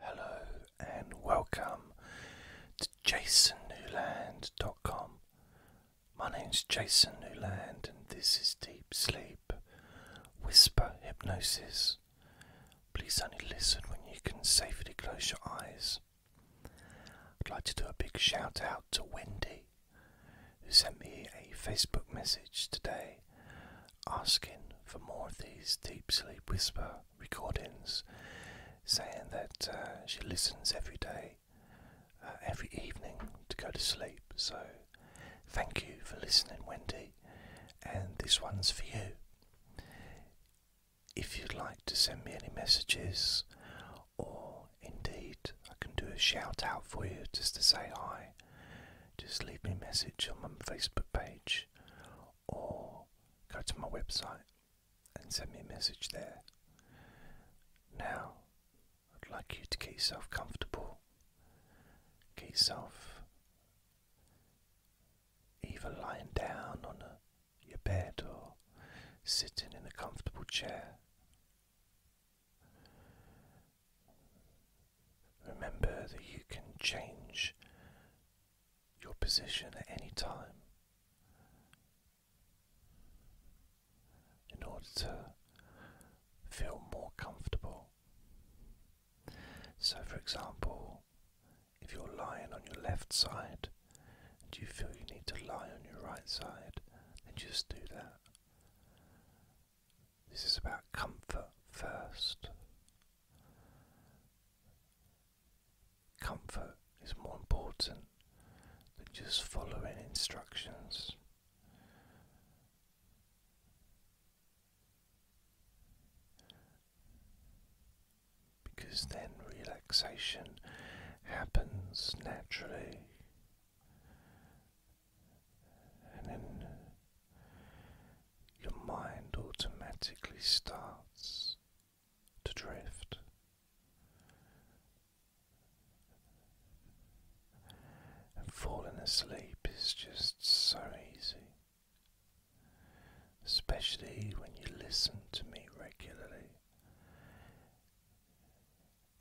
Hello and welcome to jasonnewland.com. My name's Jason Newland and this is Deep Sleep Whisper Hypnosis. Please only listen when you can safely close your eyes. I'd like to do a big shout out to Wendy who sent me a Facebook message today asking for more of these deep sleep whisper recordings, saying that uh, she listens every day, uh, every evening to go to sleep. So, thank you for listening, Wendy, and this one's for you. If you'd like to send me any messages, or indeed I can do a shout out for you just to say hi, just leave me a message on my Facebook page or go to my website and send me a message there. Now, I'd like you to get yourself comfortable, get yourself either lying down on your bed or sitting in a comfortable chair. Remember that you can change your position at any time in order to feel more comfortable. So, for example, if you're lying on your left side and you feel you need to lie on your right side, then just do that. This is about comfort first. Comfort is more important than just following instructions. Because then relaxation happens naturally, and then your mind automatically starts to drift. And falling asleep is just so easy, especially when you listen to me regularly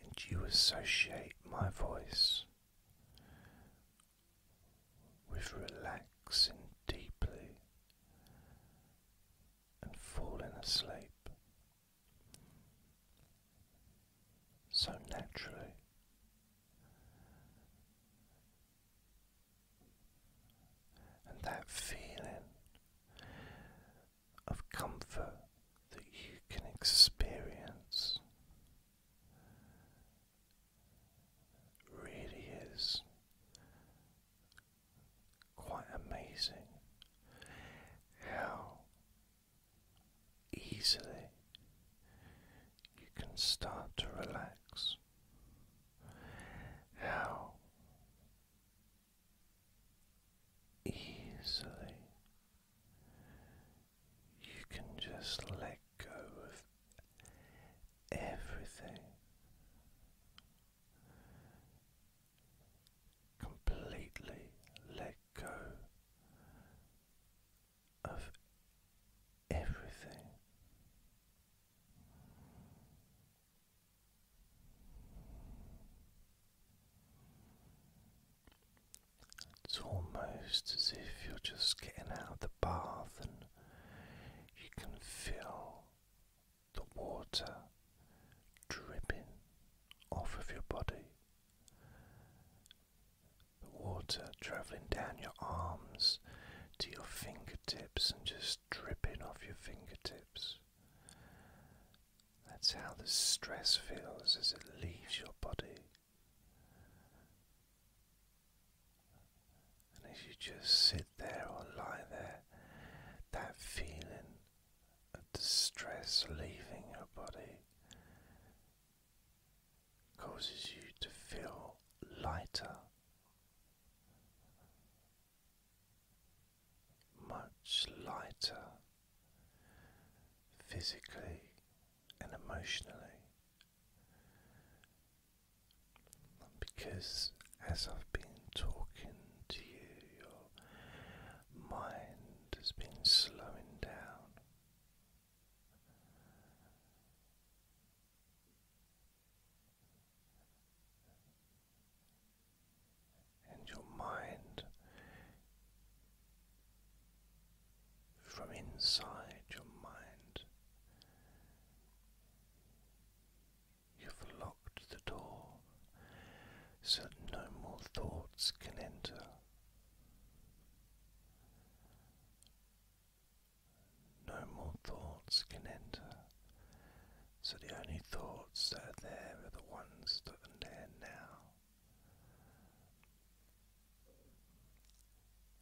and you associate my voice with relaxing deeply and falling asleep so naturally. And that feeling of comfort that you can experience really is quite amazing how easily you can start to relax, how easily you can just let go of everything. Completely let go of everything. It's almost as if you're just getting out the bath and you can feel the water dripping off of your body, the water traveling down your arms to your fingertips and just dripping off your fingertips. That's how the stress feels as it leaves your body. And as you just sit there or lie there, that feeling of distress leaving your body causes you to feel lighter, much lighter physically and emotionally because as I've been talking to you, your mind has been slowing down. And your mind from inside your mind. You've locked the door so no more thoughts can enter. No more thoughts can enter, so the only thoughts that are there are the ones that are there now.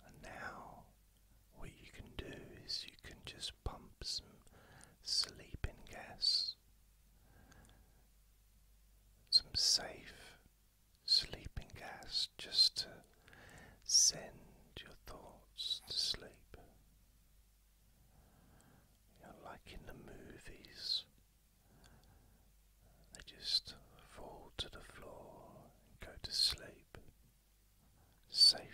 And now, what you can do is you can just pump some sleeping gas, some safe sleeping gas, just to send your thoughts to sleep. like in the movies, they just fall to the floor and go to sleep safely.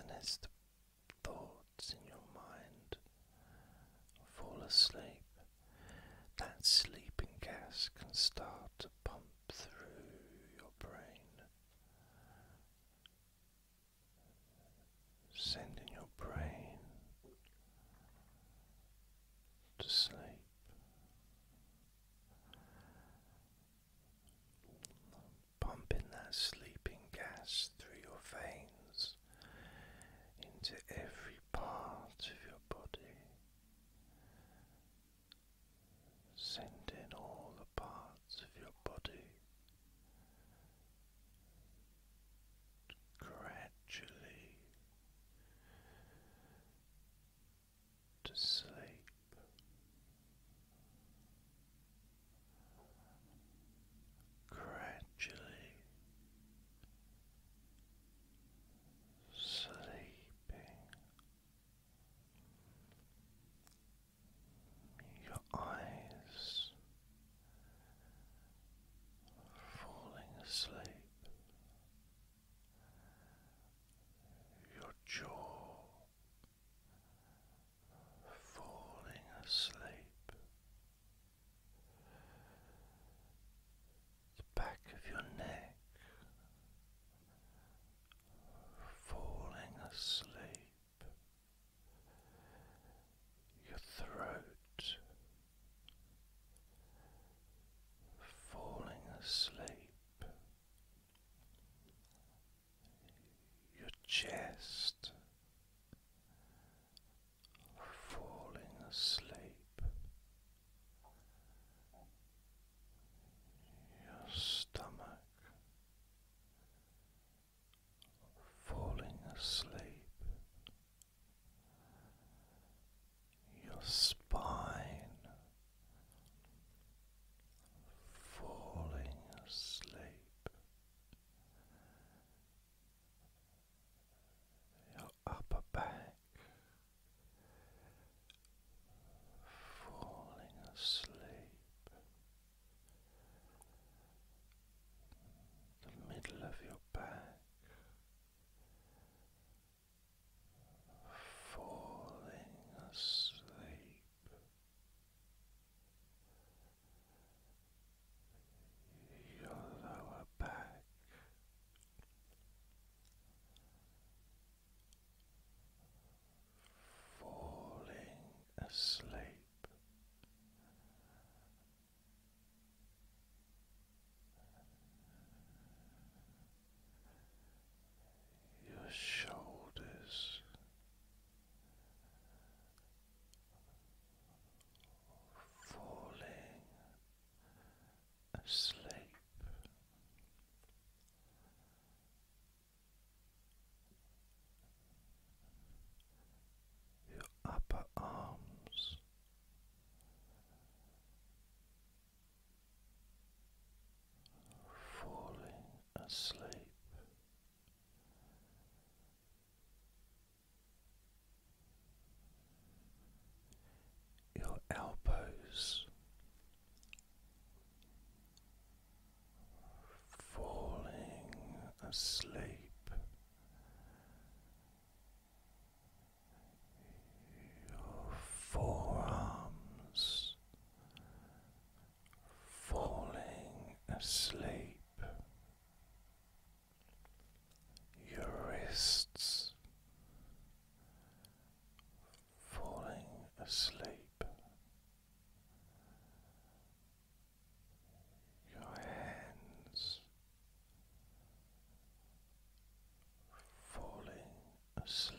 And as the thoughts in your mind fall asleep, that sleeping gas can start to pump through your brain, sending your brain to sleep. Pumping that sleeping gas through your veins into every part of your body, Send in all the parts of your body, gradually to sleep. Gradually sleeping. Your eyes falling asleep, your jaw falling asleep, the back of your neck, falling asleep, your throat, falling asleep, your chest falling asleep. Your stomach falling asleep. Your spine falling asleep upper back, falling asleep, the middle of your back. Falling asleep, your lower back, falling asleep. Your shoulders falling asleep. Your upper arms falling asleep, your elbows falling asleep, your forearms falling asleep your wrists falling asleep, your hands falling asleep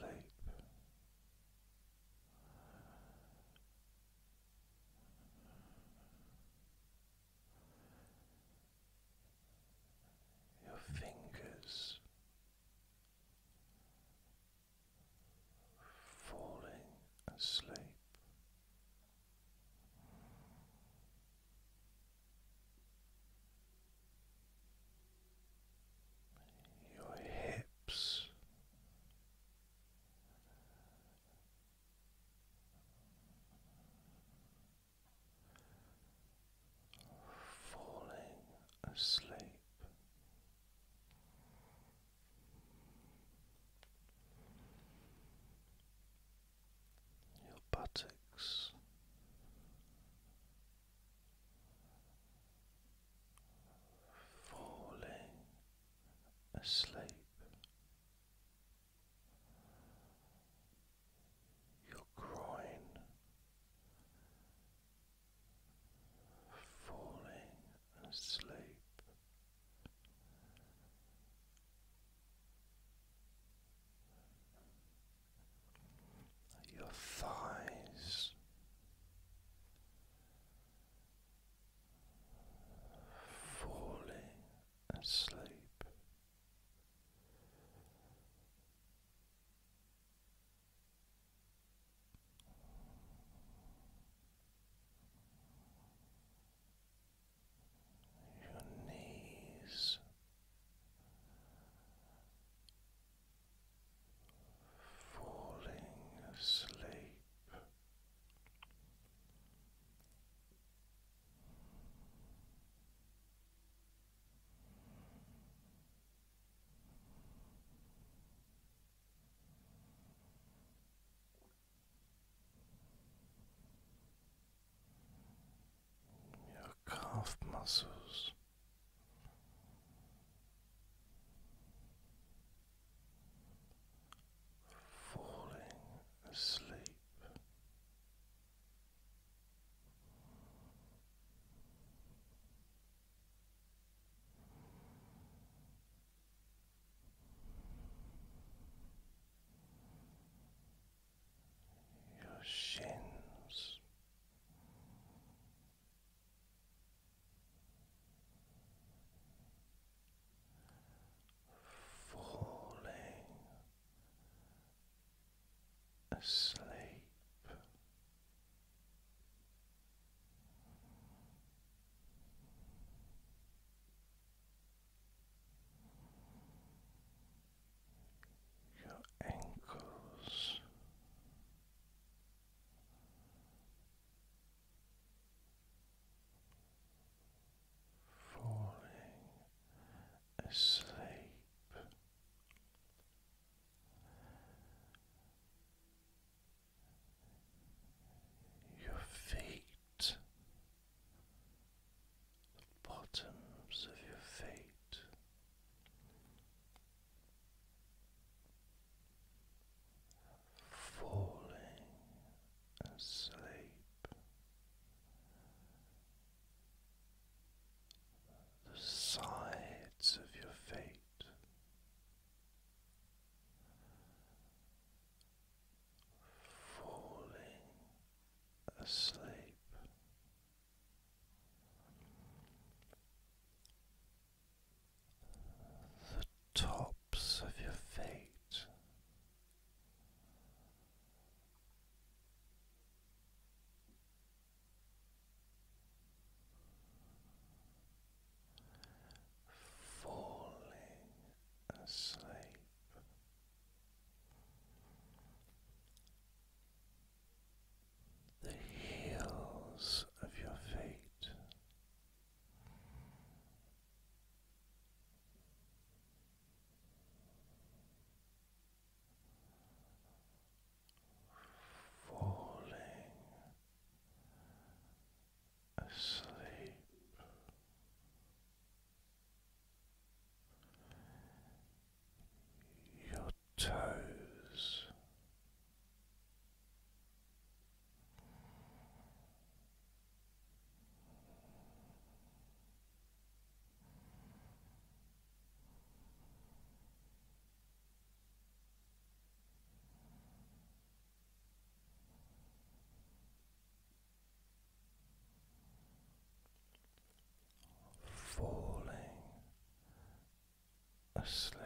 your fingers falling asleep. Your hips falling asleep. Your buttocks falling asleep, your groin falling asleep. Your thighs falling asleep, your knees falling asleep. Your calf muscles. Falling asleep, your shins, falling asleep. Your ankles falling asleep. Your feet, bottoms of your feet, falling asleep the sides of your feet. Falling asleep. The tops of your feet falling asleep. The heels of your feet falling asleep. Your toes Falling asleep.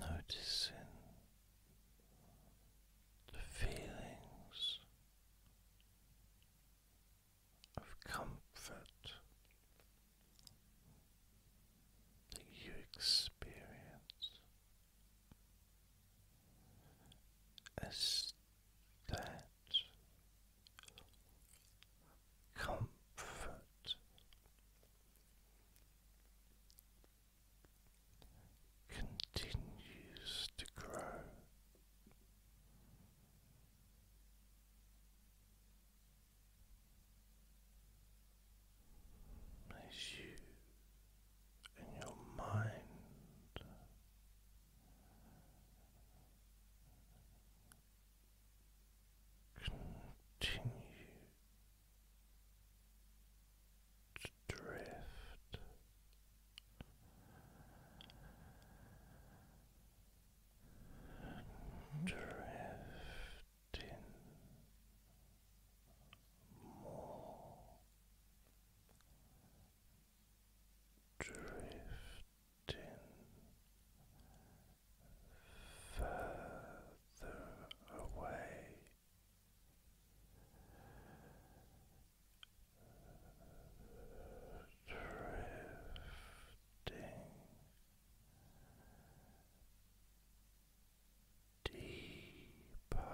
Noticing the feelings of comfort that you experience as that comfort continues to grow as you and your mind continue to drift drift more drifting further away. Drifting deeper and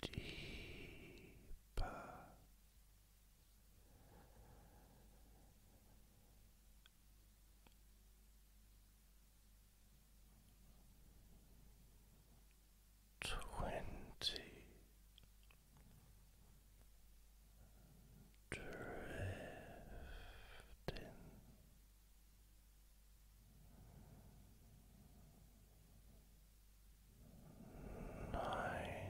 deeper twenty drifting nineteen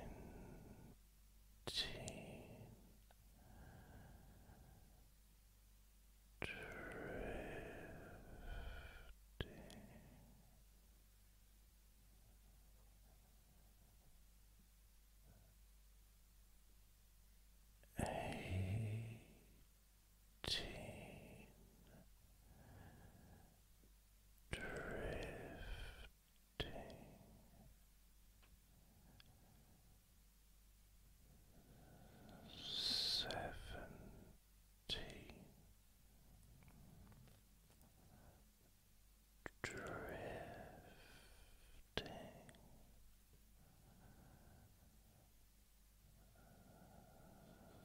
drifting Eighteen drifting seventeen Drifting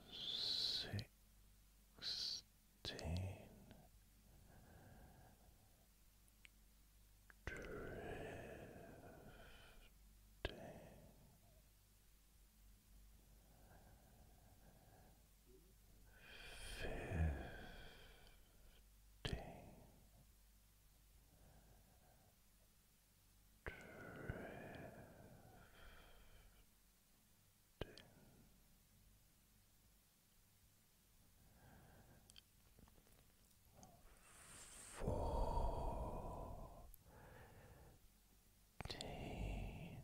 sixteen drifting fifteen fourteen drifting thirteen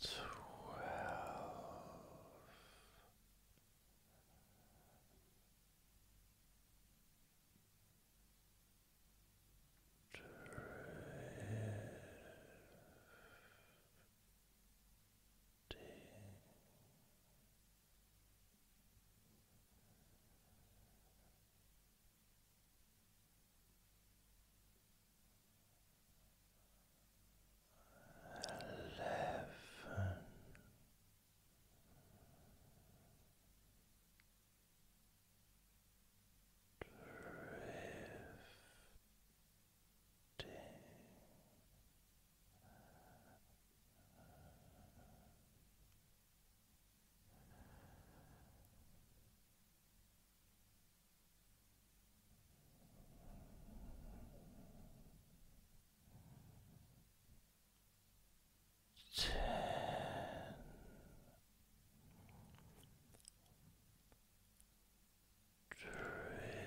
twelve. Drift eleven. Drifting. Ten. Drifting.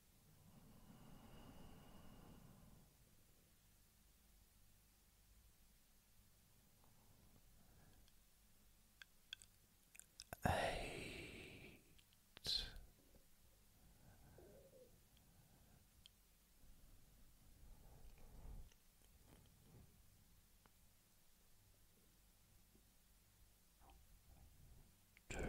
Eight. Drift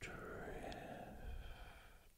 Drift